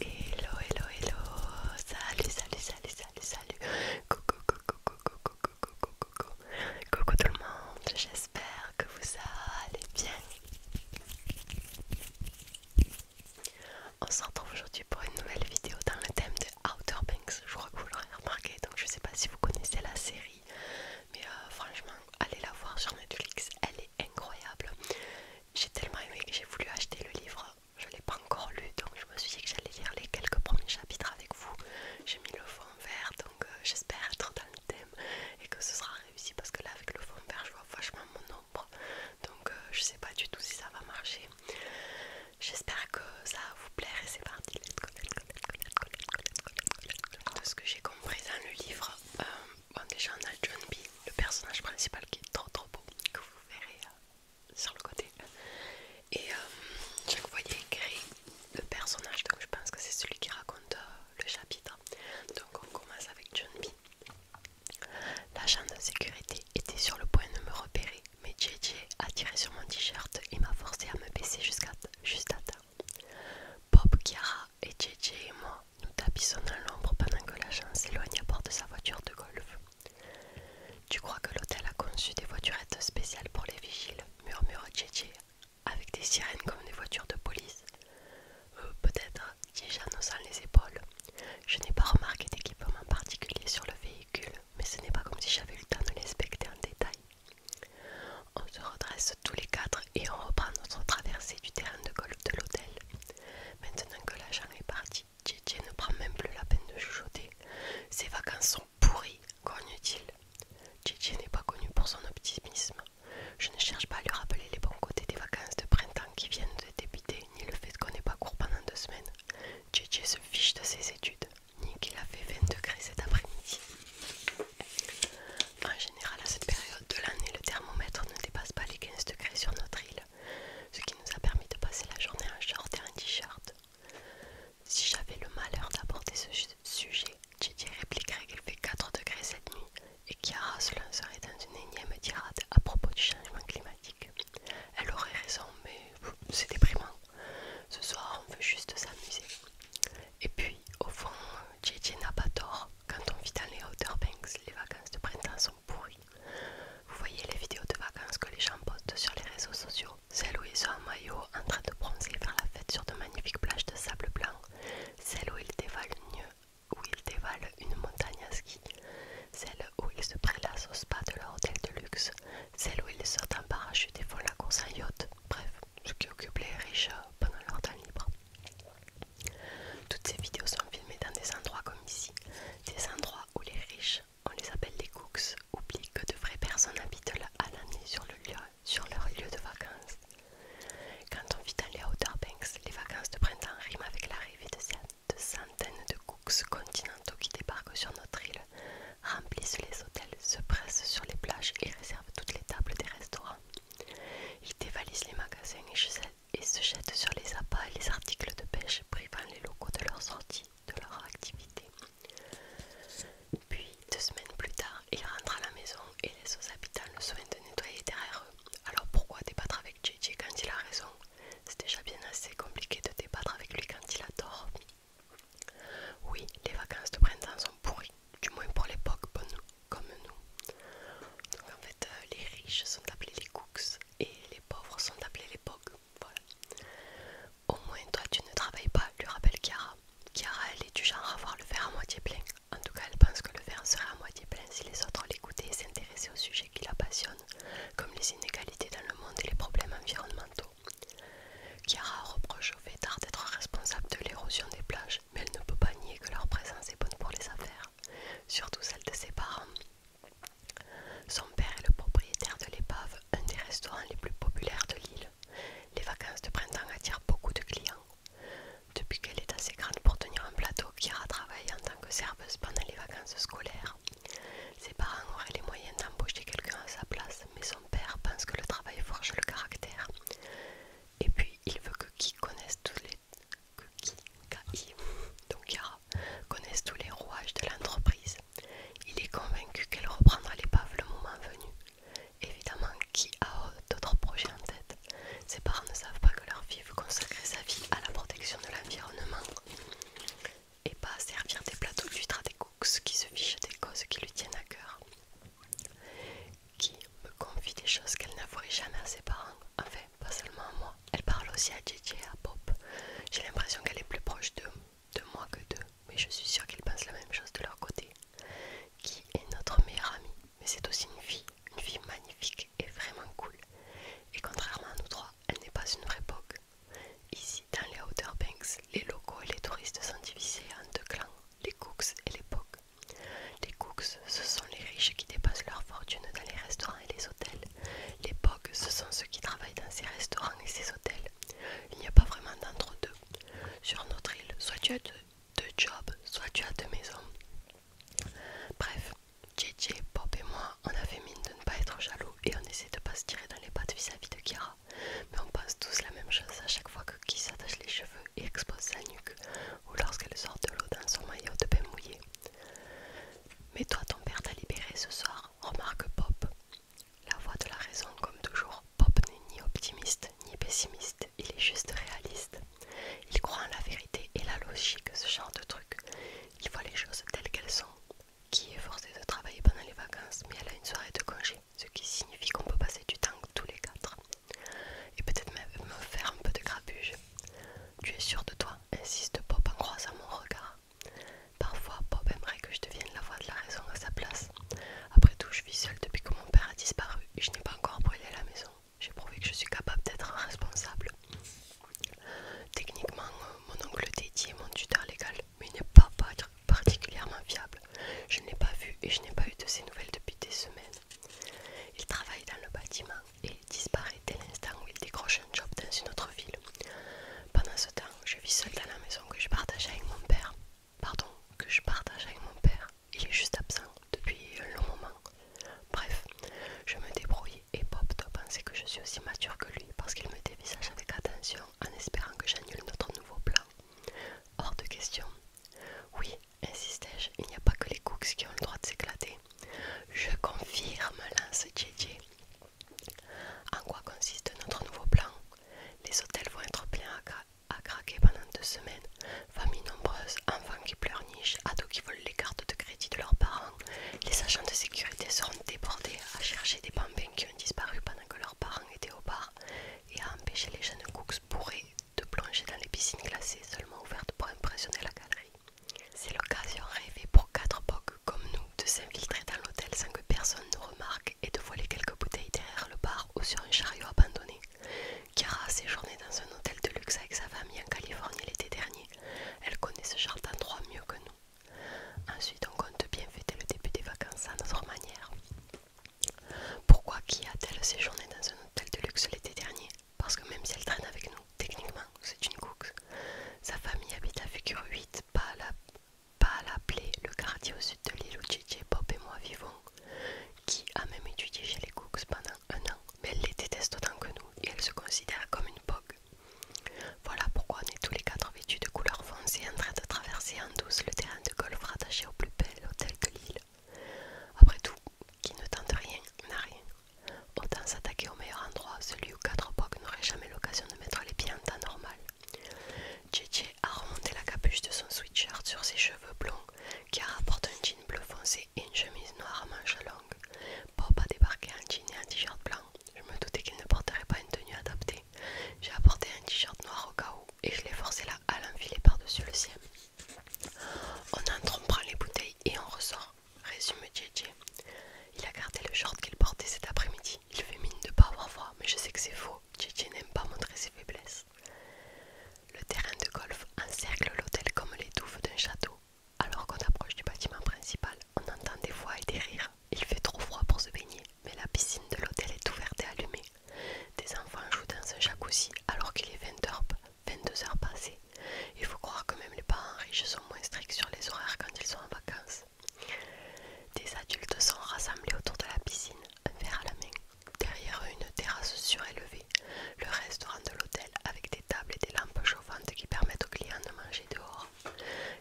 Hello, hello, hello, salut, salut, salut, salut, salut, coucou, coucou, coucou, coucou, coucou, coucou, coucou tout le monde, j'espère que vous allez bien. On se retrouve aujourd'hui pour une nouvelle vidéo dans le thème de Outer Banks, je crois que vous l'aurez remarqué, donc je sais pas si vous connaissez la série, mais euh, franchement, allez la voir sur Netflix, elle est incroyable. J'ai tellement aimé que j'ai voulu acheter le livre. Je l'ai pas encore lu, donc je me suis dit que j'allais lire les quelques premiers chapitres avec vous. J'ai mis le fond vert, donc euh, j'espère être dans le thème et que ce sera réussi parce que là, avec le fond vert, je vois vachement mon ombre. Donc euh, je sais pas du tout si ça va marcher. J'espère que ça va vous plaire et c'est parti. De ce que j'ai compris dans le livre, euh, Bon, déjà, on a John B, le personnage principal qui est trop trop beau, que vous verrez euh, sur le côté. Et je euh, chaque écrit le personnage, donc je pense que c'est celui qui raconte euh, le chapitre. Donc, on commence avec John B. L'agent de sécurité était sur le point de me repérer, mais JJ a tiré sur mon t-shirt et m'a forcé à me baisser jusqu'à juste à temps. Bob Chiara et JJ et moi nous tapissons dans l'ombre pendant que l'agent s'éloigne à bord de sa voiture de golf. Tu crois que l'hôtel a conçu des voiturettes spéciales pour les vigiles murmura JJ, avec des sirènes comme des voitures de police. Euh, peut-être, dis a les épaules. Je n'ai pas remarqué d'équipement particulier sur le véhicule, mais ce n'est pas comme si j'avais eu le temps de l'inspecter en détail. On se redresse tous les quatre et on reprend notre traversée du terrain de golf de l'hôtel. Maintenant que l'agent est parti, Tietje ne prend même plus la peine de chuchoter. Ses vacances sont pourries, grogne-t-il. n'est pas connu pour son optimisme. Je ne cherche pas à lui rappeler les bons côtés des vacances de printemps qui viennent de débuter, ni le fait qu'on n'ait pas cours pendant deux semaines. JJ se fiche de ses études, ni qu'il a fait 20 degrés cet après-midi. En général, à cette période de l'année, le thermomètre ne dépasse pas les 15 degrés sur notre île, ce qui nous a permis de passer la journée en short et en t-shirt. Si j'avais le malheur d'aborder ce sujet, dirais répliquerait qu'il fait 4 degrés cette nuit et Chiara se serait dans une énième tirade à propos du changement climatique. Elle aurait raison, mais c'est déprimant. Ce soir, on veut juste s'amuser. Et puis, au fond, JJ n'a pas tort. Quand on vit dans les Outer Banks, les vacances de printemps sont pourries. Vous voyez les vidéos de vacances que les gens postent sur les réseaux sociaux Celles où ils sont en maillot, en train de bronzer vers faire la fête sur de magnifiques plages de sable blanc. Celles où ils dévalent une, où ils dévalent une montagne à ski. Celles où ils se prélassent au spa de leur hôtel de luxe. Celles où ils sortent en parachute et font la course en yacht. Bref, ce qui occupe les riches pendant leur temps libre. Toutes ces vidéos sont filmées dans des endroits comme ici, des endroits où les riches, on les appelle les cooks, oublient que de vraies personnes habitent là à l'année sur, leur lieu de vacances. Quand on vit dans les Outer Banks, les vacances de printemps riment avec l'arrivée de, de centaines de cooks continentaux qui débarquent sur notre île, remplissent les hôtels, se pressent sur les plages et réservent toutes les tables des restaurants. Il dévalise les magasins et se jette sur les appâts et les articles de pêche, privant les locaux de leur sortie, de leur activité. Puis, deux semaines plus tard, il rentre à la maison et laisse aux habitants le soin de nettoyer derrière eux. Alors pourquoi débattre avec JJ quand il a raison C'est déjà bien assez compliqué de débattre avec lui quand il a tort. Oui, les vacances de printemps sont du moins pour l'époque, bon, comme nous. Donc en fait, euh, les riches sont appelés les cooks et les pauvres sont appelés les pogs. Voilà. Au moins, toi, tu ne travailles pas, lui rappelle Kiara. Kiara, elle est du genre à voir le verre à moitié plein. En tout cas, elle pense que le verre serait à moitié plein si les autres l'écoutaient et s'intéressaient aux sujets qui la passionnent, comme les inégalités dans le monde et les problèmes environnementaux. Chiara reproche au Vétard d'être responsable de l'érosion des plages mais elle ne peut pas nier que leur présence est bonne pour les affaires, surtout celle de ses parents. Son père est le propriétaire de l'épave, un des restaurants les plus populaires de l'île. Les vacances de printemps attirent beaucoup de clients. Depuis qu'elle est assez grande pour tenir un plateau, Kira travaille en tant que serveuse pendant les vacances scolaires. Ses parents auraient les moyens d'embaucher quelqu'un à sa place, mais son père pense que le travail forge le caractère. Et puis il veut que qui connaisse tous les connaisse tous les rouages de l'entreprise. Il est convaincu qu'elle reprendra l'épave le moment venu. Évidemment, qui a d'autres projets en tête Ses parents ne savent pas que leur fille veut consacrer sa vie à la protection de l'environnement et pas servir des plateaux d'huîtres à des qui se fiche des causes qui lui tiennent à cœur, qui me confie des choses qu'elle n'avouerait jamais à ses parents, fait, pas seulement à moi. Elle parle aussi à JJ et à Pop. J'ai l'impression qu'elle est plus proche de, de moi que d'eux, mais je suis sûre qu'ils pensent la même chose de leur côté. Qui est notre meilleure amie, mais c'est aussi une fille, une fille magnifique et vraiment cool. Et contrairement à nous trois, elle n'est pas une vraie POC. Ici, dans les Outer Banks, les locaux et les touristes sont divisés en deux clans les Cooks et les Pogs. Les Cooks, ce sont les riches qui dépassent leur fortune dans les restaurants et les hôtels. Les Pogs, ce sont ceux qui travaillent dans ces restaurants et ces hôtels. Il n'y a pas vraiment d'entre-deux. Sur notre île, soit tu as deux jobs, soit tu as deux maisons. Bref, JJ, Bob et moi, on avait fait mine de ne pas être jaloux et on essaie de pas se tirer dans les pattes vis-à-vis de Kira mais on pense tous la même chose à chaque fois que qui s'attache les cheveux et expose sa nuque, ou lorsqu'elle sort de l'eau dans son maillot de bain mouillé. Mais toi, ton père t'a libéré ce soir, remarque Pop. La voix de la raison, comme toujours, Pop n'est ni optimiste ni pessimiste, il est juste réaliste. Il croit en la vérité et la logique, ce genre de truc. Il voit les choses telles qu'elles sont. Qui est forcé de travailler pendant les vacances, mais elle a une soirée de congé ce qui signifie qu'on peut passer du temps tous les quatre. Et peut-être même me faire un peu de grabuge. Tu es sûr de toi insiste Bob en croisant mon regard. Parfois, Bob aimerait que je devienne la voix de la raison à sa place. Après tout, je vis seule depuis que mon père a disparu et je n'ai pas encore brûlé la maison. J'ai prouvé que je suis capable d'être responsable. Techniquement, mon oncle est mon tuteur légal, mais n'est pas particulièrement fiable. Je ne l'ai pas vu et je n'ai pas eu de ses nouvelles depuis des semaines. Il travaille dans le bâtiment et disparaît dès l'instant où il décroche un job dans une autre ville. Pendant ce temps, je vis seule dans la maison que je partage avec mon père. Pardon, que je partage avec mon père. Il est juste absent depuis un long moment. Bref, je me débrouille et Bob doit penser que je suis aussi mature que lui parce qu'il me dévisage avec attention en espérant que j'annule notre nouveau plan. Hors de question. Oui, insistais je il n'y a pas que les cooks qui ont le droit de s'éclater. Je confirme, lance JJ. En quoi consiste notre nouveau plan Les hôtels vont être pleins à, craquer pendant deux semaines. Familles nombreuses, enfants qui pleurnichent, ados qui volent les cartes de crédit de leurs parents. Les agents de sécurité seront débordés à chercher des bambins qui ont disparu pendant que leurs parents étaient au bar et à empêcher les jeunes cooks bourrés de plonger dans les piscines glacées seulement ouvertes pour impressionner la galerie. C'est l'occasion rêvée pour quatre bugs comme nous de s'infiltrer dans l'hôtel sans que personne nous remarque et de voler quelques bouteilles derrière le bar ou sur un chariot abandonné. Kara a séjourné dans un hôtel de luxe avec sa famille en Californie l'été dernier. Elle connaît ce jardin trois mieux que nous. Ensuite, on compte bien fêter le début des vacances à notre manière. Pourquoi qui a-t-elle séjourné dans un hôtel de luxe l'été dernier Parce que même si elle traîne avec nous, techniquement, c'est une cook. Sa famille habite à Figure 8, pas à la, le quartier au sud de l'île où JJ, Bob et moi vivons, qui a même étudié chez les cooks pendant un an, mais elle les déteste autant que nous et elle se considère comme une pogue. Voilà pourquoi on est tous les quatre de couleur foncée en train de traverser en douce le terrain de golf rattaché au plus bel hôtel de l'île. Après tout, qui ne tente rien n'a rien. Autant s'attaquer au meilleur endroit, celui où quatre époques n'aurait jamais l'occasion de mettre les pieds en temps normal. JJ a remonté la capuche de son sweatshirt sur ses cheveux blonds, qui rapporte un jean bleu foncé et une chemise noire à manches longues. Bob a débarqué en jean et en t-shirt blanc. Je me doutais qu'il ne porterait pas une tenue adaptée j'ai apporté un t-shirt noir au cas où et je l'ai forcé là à l'enfiler par-dessus le sien. On entre, on prend les bouteilles et on ressort, résume JJ. Il a gardé le short qu'il portait cet après-midi. Il fait mine de pas avoir froid, mais je sais que c'est faux. JJ n'aime pas montrer ses faiblesses. Le terrain de golf encercle l'hôtel comme les touffes d'un château. Alors qu'on approche du bâtiment principal, on entend des voix et des rires. Il fait trop froid pour se baigner mais la piscine de l'hôtel est ouverte et allumée. Des enfants jouent dans un jacuzzi alors qu'il est 22 heures passées. Il faut croire que même les parents riches sont moins stricts sur les horaires quand ils sont en vacances. Des adultes sont rassemblés autour de la piscine, un verre à la main. Derrière eux, une terrasse surélevée, le restaurant de l'hôtel avec des tables et des lampes chauffantes qui permettent aux clients de manger dehors.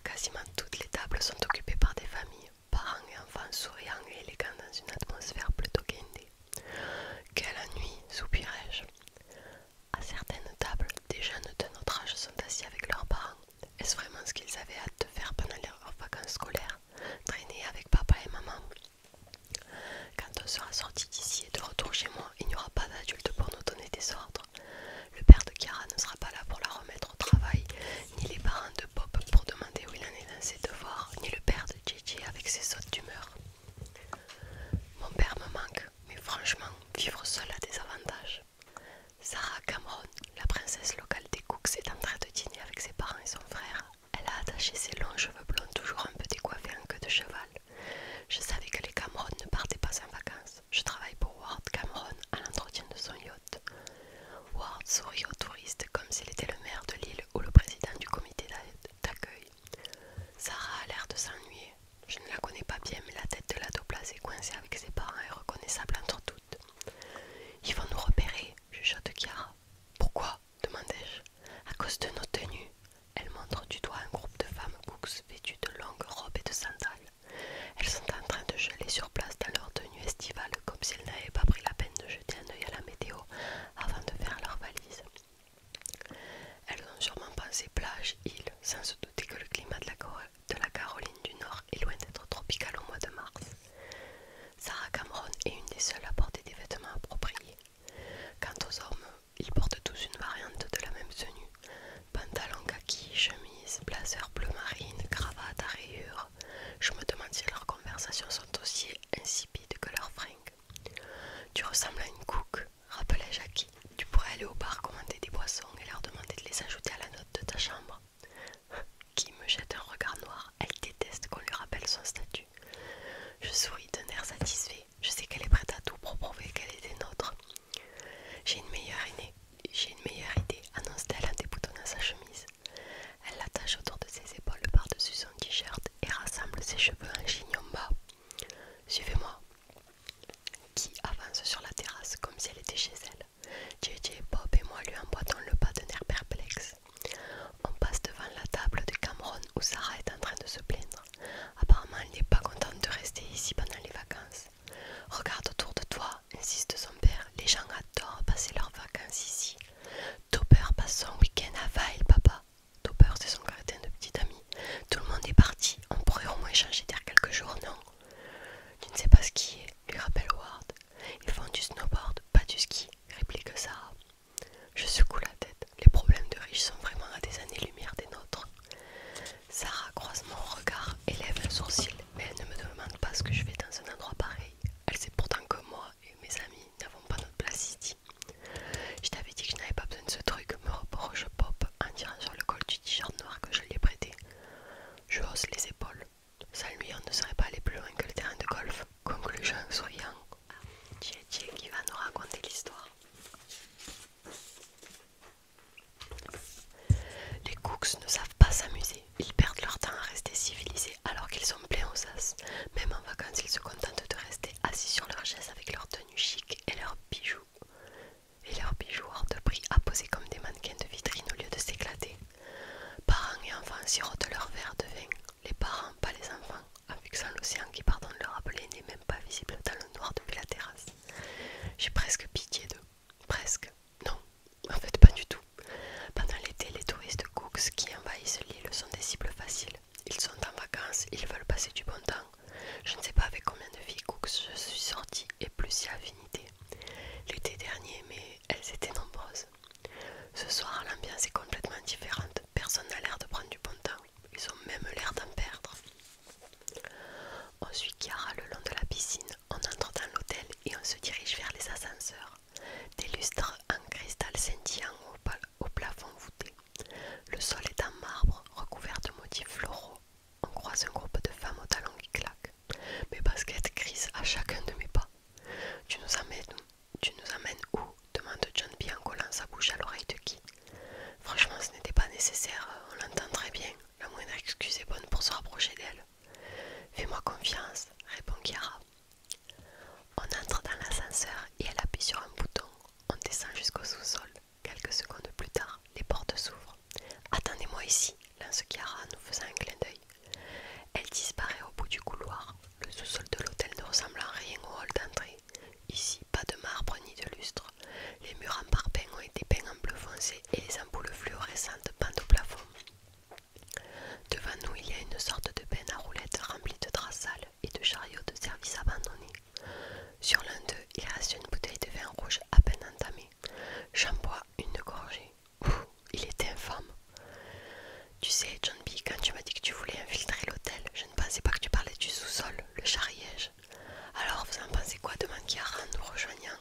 Quasiment toutes les tables sont occupées par des familles parents et enfants souriants et élégants dans une atmosphère plutôt guindée. Quelle nuit soupirai-je. À certaines tables, des jeunes de notre âge sont assis avec leurs parents. Est-ce vraiment ce qu'ils avaient hâte de faire pendant leurs vacances scolaires Traîner avec papa et maman Quand on sera sorti d'ici et de retour chez moi, il n'y aura pas d'adultes pour nous donner des ordres. Le père de Chiara ne sera pas là pour la remettre au travail, ni les parents de Bob pour demander où il en est dans ses devoirs, ni le père de JJ avec ses sautes d'humeur. Mon père me manque, mais franchement, vivre seul a des avantages. Sarah Cameron, la princesse locale des Cooks, est en train de dîner avec ses parents et son frère. Elle a attaché ses longs cheveux blonds toujours un peu décoiffés en queue de cheval. Je savais que les Cameron ne partaient pas en vacances je travaille pour Ward Cameron à l'entretien de son yacht. Ward sourit aux touristes comme s'il était le maire de l'île ou le président du comité d'accueil. Sarah a l'air de s'ennuyer. Je ne la connais pas bien, mais la tête de la est coincée avec ses parents est reconnaissable entre toutes. Ils vont nous repérer, chuchote Kiara. Pourquoi demandai-je. À cause de nos tenues. Elle montre du doigt un groupe de femmes cooks vêtues de longues robes et de sandales. Elles sont en train de geler sur place dans leur tenue estivale comme si elles n'avaient pas pris la peine de jeter un œil à la météo avant de faire leur valise. Elles ont sûrement pensé plage, île, sans se douter que le climat de la, de la Caroline du Nord est loin d'être tropical au mois de mars. Sarah Cameron est une des seules à porter des vêtements appropriés. Quant aux hommes, ils portent tous une variante de la même tenue, Pantalon kaki, chemise, blazer bleu marine, cravate à rayures. Je me demande si leurs conversations sont aussi insipides que leurs fringues. Tu ressembles à une cook, rappelait Jackie. Tu pourrais aller au bar commander des boissons et leur demander de les ajouter à la note de ta chambre. Qui me jette un regard noir, elle déteste qu'on lui rappelle son statut. Je souris d'un air satisfait, je sais qu'elle est prête à tout pour prouver qu'elle est des nôtres. J'ai une meilleure aînée, j'ai une meilleure idée, annonce-t-elle en déboutonnant sa chemise. Elle l'attache autour de ses épaules par-dessus son t-shirt et rassemble ses cheveux en chignon bas. Suivez-moi. Qui avance sur la terrasse comme si elle était chez elle. JJ, Bob et moi lui emboîtons le pas d'un air perplexe. On passe devant la table de Cameron où Sarah est en train de se plaindre. Apparemment, elle n'est pas contente de rester ici pendant les vacances. Regarde autour de toi, insiste son père. Les gens adorent passer leurs vacances ici. Topper passe son week-end à Vail, papa. Topper, c'est son quartier de petit ami. Tout le monde est parti. On pourrait au moins changer d'air quelques jours, non Tu ne sais pas ce est », lui rappelle Ward. « Ils font du snowboard, pas du ski, réplique Sarah. Je secoue la tête. Les problèmes de riches sont vraiment à des années-lumière des nôtres. Sarah croise mon regard et lève le sourcil, mais elle ne me demande pas ce que je fais dans un endroit pareil. Elle sait pourtant que moi et mes amis n'avons pas notre place ici. Je t'avais dit que je n'avais pas besoin de ce truc, me reproche Pop en tirant sur le col du t-shirt noir que je lui ai prêté. Je hausse les épaules. Sans lui, on ne serait pas aller plus loin que le terrain de golf. Conclusion, soyons. Ah, jeune qui va nous raconter l'histoire. Les cooks ne savent pas s'amuser. Ils perdent leur temps à rester civilisés alors qu'ils sont pleins aux as. Même en vacances, ils se contentent de rester assis sur leur chaise avec leur tenue chic et leurs bijoux. Et leurs bijoux hors de prix à poser comme des mannequins de vitrine au lieu de s'éclater. Parents et enfants sirotent leur verre de vin. Les parents, pas les enfants, Avec fixant l'océan qui, pardon de le rappeler, n'est même pas visible dans le noir depuis la terrasse. J'ai presque pitié d'eux. Presque. Non, en fait pas du tout. Pendant l'été, les touristes cooks qui envahissent l'île sont des cibles faciles. Ils sont en vacances, ils veulent passer du bon temps. Je ne sais pas avec combien de filles cooks je suis sortie et plus y a affinité. L'été dernier, mais elles étaient nombreuses. Ce soir, l'ambiance est complètement différente. Personne n'a l'air de prendre du bon temps. Ils ont même l'air d'en perdre. On suit Kiara le long de la piscine, on entre dans l'hôtel et on se dirige vers les ascenseurs. Des lustres en cristal scintillant au, plafond voûté. Le sol est en marbre, recouvert de motifs floraux. On croise un groupe de femmes aux talons qui claquent. Mes baskets grisent à chacun de mes pas. Tu nous amènes, où demande John P en collant sa bouche à l'oreille de qui. Franchement, ce n'était pas nécessaire, on l'entend très bien, la moindre excuse est bonne pour se rapprocher d'elle. Fais-moi confiance, répond Kiara. On entre dans l'ascenseur et elle appuie sur un bouton. On descend jusqu'au sous-sol. Quelques secondes plus tard, les portes s'ouvrent. Attendez-moi ici, lance Kiara en nous faisant un clin d'œil. Elle disparaît au bout du couloir. Le sous-sol de l'hôtel ne ressemble à rien au hall d'entrée. Ici, pas de marbre ni de lustre, les murs en parpaing ont été peints en bleu foncé et les ampoules fluorescentes pendent au plafond. Devant nous, il y a une sorte de bain à roulettes remplie de draps sales et de chariots de service abandonnés. Sur l'un d'eux, il reste une bouteille de vin rouge à peine entamée. J'en bois une gorgée. Ouh, il était infâme. Tu sais, John B., quand tu m'as dit que tu voulais infiltrer l'hôtel, je ne pensais pas que tu parlais du sous-sol, le chariège alors vous en pensez quoi demain qui en nous rejoignant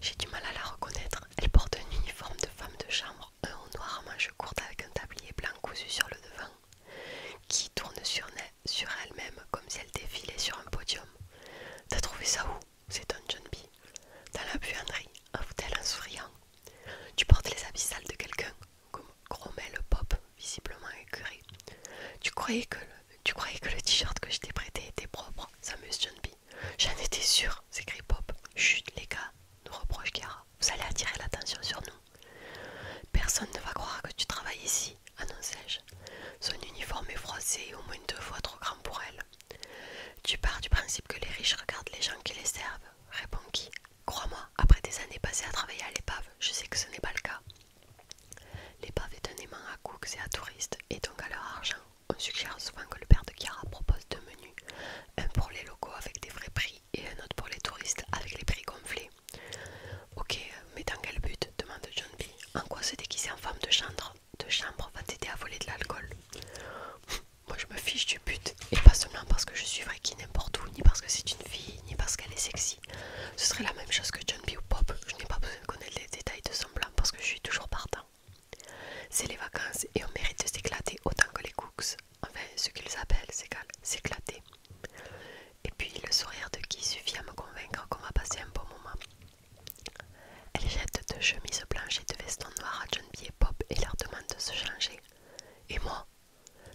J'ai du mal à la reconnaître. Elle porte un uniforme de femme de chambre, un haut noir à manches courtes avec un tablier blanc cousu sur le devant, qui tourne sur, elle-même comme si elle défilait sur un podium. T'as trouvé ça où C'est un John B. Dans la buanderie, avoue-t-elle en souriant. Tu portes les habits sales de quelqu'un, comme le Pop visiblement écœuré. Tu croyais que le, t-shirt que je t'ai prêté était propre, s'amuse John B. J'en étais sûre, s'écrie Pop. Chut, les gars, nous reproche Chiara. Vous allez attirer l'attention sur nous. Personne ne va croire que tu travailles ici, annonçais je Son uniforme est froissé au moins deux fois trop grand pour elle. Tu pars du principe que les riches regardent les gens qui les servent, répond qui Crois-moi, après des années passées à travailler à l'épave, je sais que ce n'est pas le cas. L'épave est un aimant à cooks et à touristes, et donc à leur argent. On suggère souvent que le père de Chiara propose deux menus, un pour les locaux avec des vrais prix et un autre pour les touristes avec les prix gonflés. Ok, mais dans quel but demande John B. En quoi se déguiser en femme de chambre, de chambre va t'aider à voler de l'alcool Moi je me fiche du but, et pas seulement parce que je suis vrai qui n'importe où, ni parce que c'est une fille, ni parce qu'elle est sexy. Ce serait la même chose que John B ou Pop, je n'ai pas besoin de connaître les détails de son plan parce que je suis toujours partant. C'est les vacances et on mérite de s'éclater autant que les cooks. Enfin, ce qu'ils appellent, c'est s'éclater. Et puis le sourire de qui suffit à me convaincre qu'on va passer un bon moment. Elle jette deux chemises blanches et deux vestons noirs à John B et Pop et leur demande de se changer. Et moi,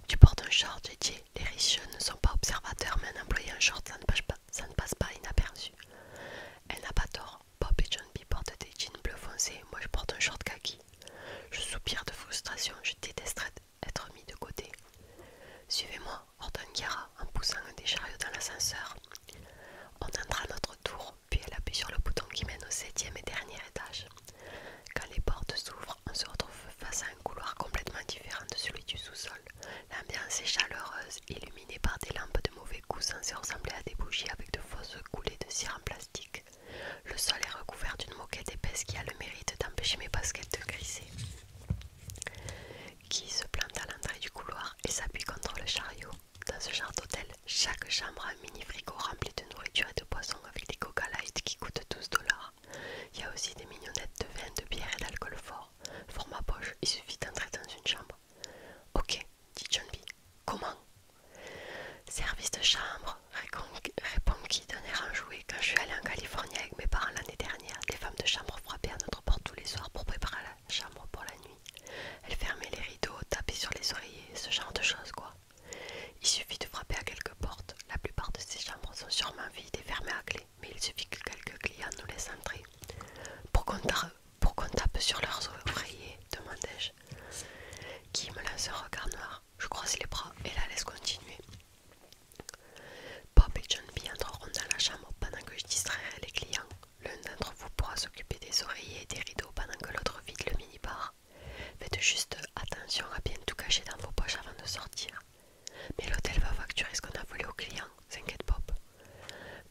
tu portes un short, JJ. Les riches ne sont pas observateurs, mais un employé en short, ça ne passe pas, inaperçu. Elle n'a pas tort. Bob et John portent des jeans bleu foncé. Moi, je porte un short kaki. Je soupire de frustration. Je détesterais être mis de côté. Suivez-moi, ordonne Chiara en poussant un des chariots dans l'ascenseur. On entra notre tour, puis elle appuie sur le bouton qui mène au septième et dernier étage. Quand les portes s'ouvrent, on se retrouve face à un couloir complètement différent de celui du sous-sol. L'ambiance est chaleureuse, illuminée par des lampes de mauvais goût censées ressembler à des bougies avec de fausses coulées de cire en plastique. Le sol est recouvert d'une moquette épaisse qui a le mérite d'empêcher mes baskets de glisser. Qui se plante à l'entrée du couloir et s'appuie contre le chariot. Dans ce genre d'hôtel, chaque chambre a mini frigo rempli de nourriture et de poisson avec des coca light qui coûtent 12 dollars. Il y a aussi des mignonnettes de vin, de bière et d'alcool fort. pour ma poche, il suffit d'entrer dans une chambre. Ok, dit John B. Comment Service de chambre, répond qui d'un air enjoué. Quand je suis allée en Californie avec mes parents l'année dernière, des femmes de chambre frappaient à notre porte tous les soirs pour préparer la chambre pour la nuit. Elles fermaient les rideaux, tapaient sur les oreillers, ce genre de choses quoi. Il suffit de frapper à quelques portes. La plupart de ces chambres sont sûrement vides et fermées à clé, mais il suffit que quelques clients nous laissent entrer. Pour qu'on tape sur leurs oreillers, demandai-je. Qui me lance un regard noir. Je croise les bras et la laisse continuer. Bob et John B entreront dans la chambre pendant que je distrairai les clients. L'un d'entre vous pourra s'occuper des oreillers et des rideaux pendant que l'autre vide le minibar. Faites juste attention à bien tout cacher dans vos poches avant de sortir. Mais l'hôtel va facturer ce qu'on a volé aux clients, s'inquiète Bob.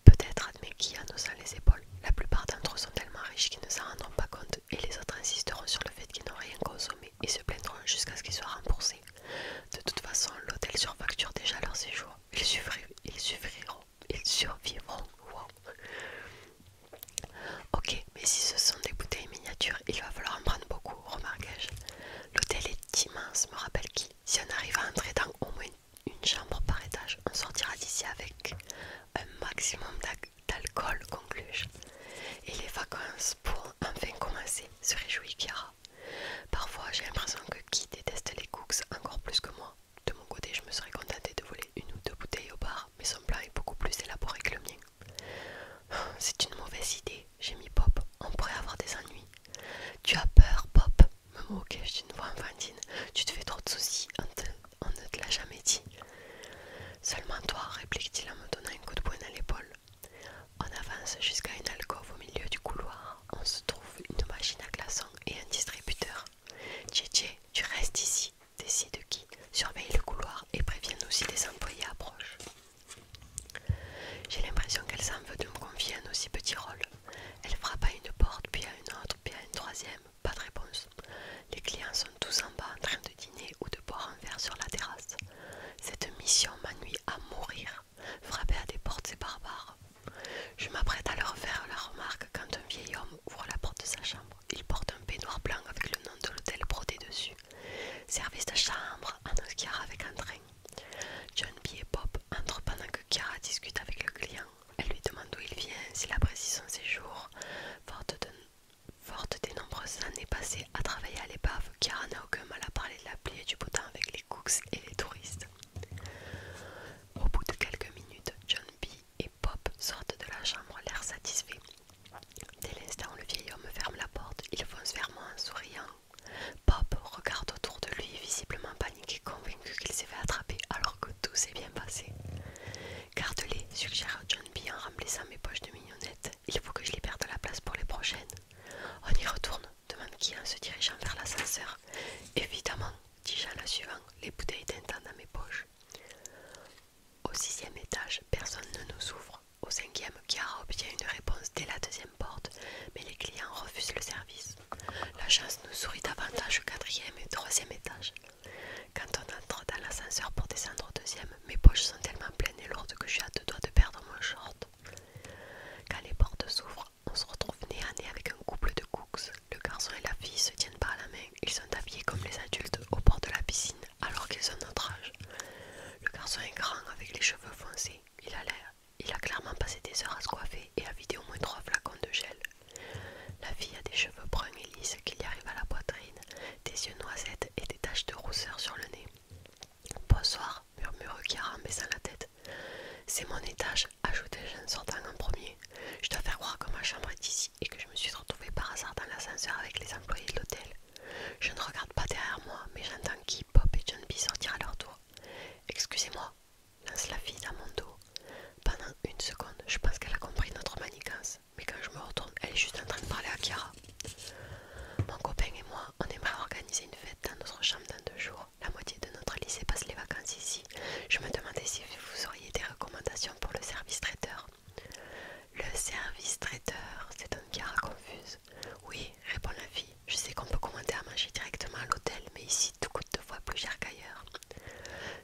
Peut-être admet qui en haussant les épaules. La plupart d'entre eux sont tellement riches qu'ils ne s'en rendront pas compte et les autres insisteront sur le fait qu'ils n'ont rien consommé et se plaindront jusqu'à ce qu'ils soient remboursés. De toute façon, l'hôtel surfacture déjà leur séjour. Ils, suffriront, ils, ils survivront. Ok, mais si ce sont des bouteilles miniatures, il va falloir en prendre beaucoup, remarquai-je. L'hôtel est immense, me rappelle qui Si on arrive à entrer dans au moins une chambre par étage, on sortira d'ici avec un maximum d'alcool, conclus-je. Et les vacances pour enfin commencer, se réjouit Kiara. Parfois, j'ai l'impression que qui déteste les cooks encore plus que moi. De mon côté, je me serais contentée de voler une ou deux bouteilles au bar, mais son plan est beaucoup plus élaboré que le mien. C'est une mauvaise idée, j'ai mis Pop, on pourrait avoir des ennuis. Tu as peur, Pop, me moquais je d'une voix enfantine. Tu te fais trop de soucis, on, ne te l'a jamais dit. Seulement toi, réplique-t-il en me donnant un coup de poing à l'épaule. On avance jusqu'à une alcôve au milieu du couloir. On se trouve une machine à glaçons et un distributeur. Tché, tu restes ici, décide qui, surveille le couloir et prévient aussi des employés approches. J'ai l'impression qu'elle s'en veut de me confier un aussi petit rôle. Elle frappe à une porte, puis à une autre, puis à une troisième. Pas de réponse. Les clients sont tous en bas en train de dîner ou de boire un verre sur la terrasse. Cette mission m'ennuie à mourir. Frapper à des portes, c'est barbare. Je m'apprête à leur faire la remarque quand un vieil homme ouvre la porte de sa chambre. Il porte un peignoir blanc avec le nom de l'hôtel brodé dessus. Service de chambre, annonce Chiara avec un train. John B. et Bob entrent pendant que Chiara discute avec le client. Elle lui demande d'où il vient, s'il apprécie son séjour. Forte, de, des nombreuses années passées à travailler à l'épave, Chiara n'a aucun mal à parler de la pluie du beau avec les cooks et les touristes. Au bout de quelques minutes, John B et Pop sortent de la chambre, l'air satisfait. Dès l'instant où le vieil homme ferme la porte, il fonce vers moi en souriant. Pop regarde autour de lui, visiblement paniqué, convaincu qu'il s'est fait attraper alors que tout s'est bien passé. Garde-les, suggère John B en remplissant mes poches de mignonnettes. Il faut que je les perde la place pour les prochaines. On y retourne, demande qui en se dirigeant vers l'ascenseur. Évidemment, dis-je la suivant, les bouteilles d'intendant dans mes poches. Au sixième étage, personne ne nous ouvre. Au cinquième, Chiara obtient une réponse dès la deuxième porte, mais les clients refusent le service. La chance nous sourit davantage au quatrième et troisième étage. Quand on entre dans l'ascenseur pour descendre au deuxième, mes poches sont tellement pleines et lourdes que je suis à deux doigts de perdre mon short. Quand les portes s'ouvrent, on se retrouve nez à nez avec un couple de cooks. Le garçon et la fille se tiennent par la main, ils sont habillés comme les adultes au bord de la piscine alors qu'ils ont notre âge. Le garçon est grand avec les cheveux foncés, il a l'air, il a clairement passé des heures à se coiffer et à vider au moins trois flacons de gel. La fille a des cheveux bruns et lisses qui lui arrivent à la poitrine, des yeux noisettes et des taches de rousseur sur le nez. Bonsoir, murmure Kira en baissant la tête. C'est mon étage, ajoute je en sortant en premier. Je dois faire croire que ma chambre est ici et que je me suis retrouvée par hasard dans l'ascenseur avec les employés de l'hôtel. Je ne regarde pas derrière moi, mais j'entends qui Pop et John B sortir à leur tour. Excusez-moi, lance la fille dans mon dos. Pendant une seconde, je pense qu'elle a compris notre manigance, mais quand je me retourne, elle est juste en train de parler à Kiara Mon copain et moi, on aimerait organiser une fête dans notre chambre dans deux jours. La moitié de notre lycée passe les vacances ici je me demandais si vous auriez des recommandations pour le service traiteur. Le service traiteur, c'est un cara confuse. Oui, répond la fille. Je sais qu'on peut commander à manger directement à l'hôtel, mais ici tout coûte deux fois plus cher qu'ailleurs.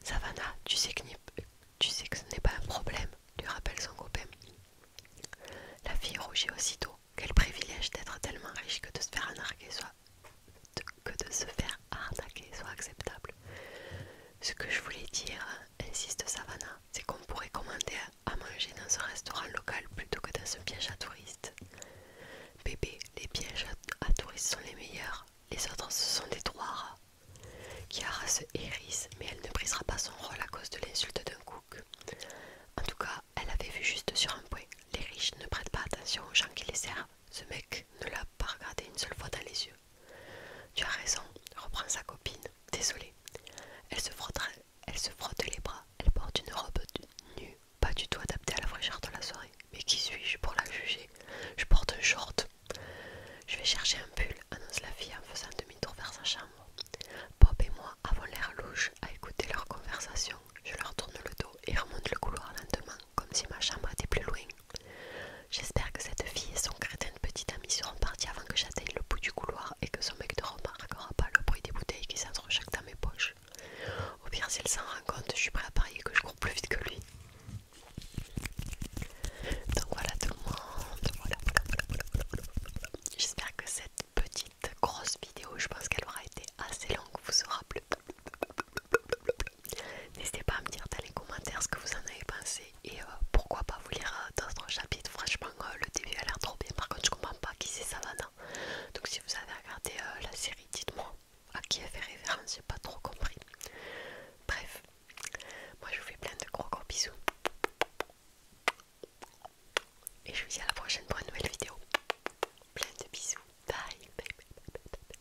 Savannah, tu sais que, tu sais que ce n'est pas un problème, lui rappelle son copain. La fille rougit aussitôt. Quel privilège d'être tellement riche que de se faire enarguer soit, que de se faire attaquer soit acceptable. Ce que je voulais dire, insiste Savannah, c'est qu'on pourrait commander à manger dans un restaurant local plutôt que dans un piège à touristes. Bébé, les pièges à touristes sont les meilleurs, les autres ce sont des trois rats. Chiara se hérisse, mais elle ne brisera pas son rôle à cause de l'insulte d'un cook. En tout cas, elle avait vu juste sur un point. Les riches ne prêtent pas attention aux gens qui les servent. Ce mec ne l'a pas regardé une seule fois dans les yeux. Tu as raison, reprend sa copine. Désolée. Elle se, frotte, elle se frotte les bras. Elle porte une robe nue, pas du tout adaptée à la fraîcheur de la soirée. Mais qui suis-je pour la juger Je porte un short. Je vais chercher un pull, annonce la fille en faisant demi-tour vers sa chambre. Bob et moi avons l'air louche à écouter leur conversation. Je leur tourne le dos et remonte le couloir lentement, comme si ma chambre était plus loin. J'espère que cette fille et son crétin de petite amie seront partis avant que j'atteigne le bout du couloir et que son mec ne n'aura pas le bruit des bouteilles qui s'entrechoquent chaque dans mes poches. Au pire, s'il s'en rend compte, je suis prêt à parier que je cours plus vite que lui. Donc voilà tout le monde, J'espère que cette petite grosse vidéo, je pense qu'elle aura été assez longue, vous aura plu. N'hésitez pas à me dire dans les commentaires ce que vous en avez pensé et euh, pourquoi pas vous lire euh, d'autres chapitres Franchement, euh, le début a l'air trop bien. Par contre, je comprends pas qui c'est Savannah. Donc, si vous avez regardé la série, dites-moi à qui elle fait référence. J'ai pas trop compris. Bref, moi je vous fais plein de gros gros bisous. Et je vous dis à la prochaine pour une nouvelle vidéo. Plein de bisous. bye, bye.